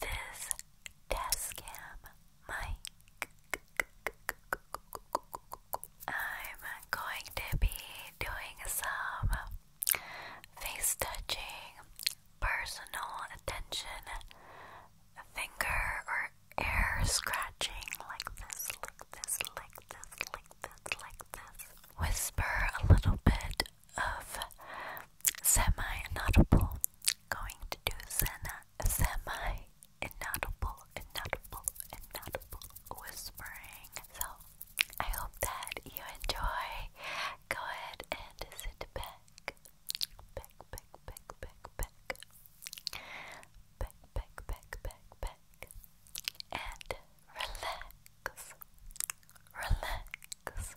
this Tascam mic. I'm going to be doing some face touching, personal attention, finger or air scratching like this, like this, like this, like this, like this. Whisper a little bit of semi-inaudible, going to do semi-inaudible, inaudible, inaudible whispering. So, I hope that you enjoy. Go ahead and sit back, back, back, back, back, back, back, back, back, back, back, and relax, relax, relax.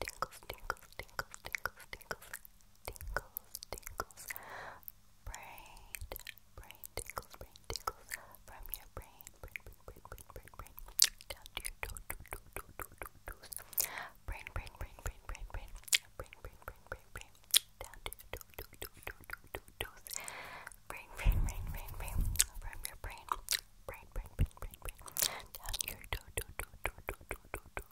tingles, tingles, tingles, tingles, tingles, tingles, tingles, brain, brain tingles, brain tingles, from your brain, brain, brain, brain, brain, brain, down to your toe, toe, toe, toe, toe, toe, toes, brain, brain, brain, brain, brain, brain, brain, brain, brain, brain, brain, down to your toe, toe, toe, toe, toe, toe, toes, brain, brain, brain, brain, brain, from your brain, brain, brain, brain, brain, brain, down to your toe, toe, toe, toe, toe, toe, toe, toe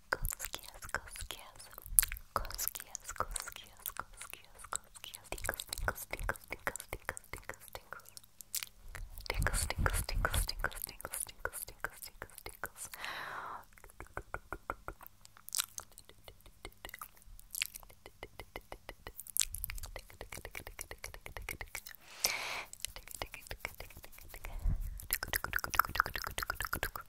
Koskias, Koskias, Koskias, Koskias, Koskias, Koskias, Tinkles, Tinkles, Tinkles, Tinkles, Tinkles, Tinkles, Tinkles, Tinkles, Tinkles, Tinkles, Tinkles, Tinkles, Tinkles, Tinkles, Tinkles, Tinkles, Tinkles,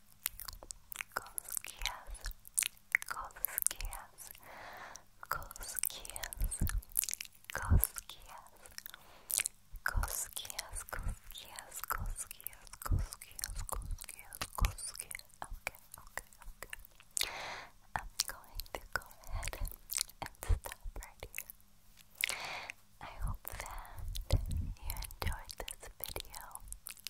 Koskias, Koskias, Koskias, Koskias, Koskias, Koskias, Koskias, Koskias, Koskias, Koskias. Okay, okay, okay. I'm going to go ahead and stop right here. I hope that you enjoyed this video.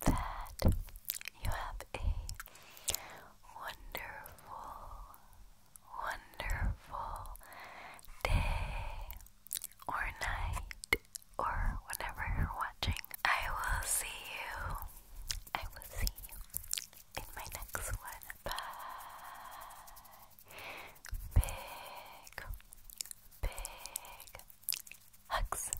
that you have a wonderful, wonderful day or night or whenever you're watching. I will see you. I will see you in my next one. Bye. Big, big hugs.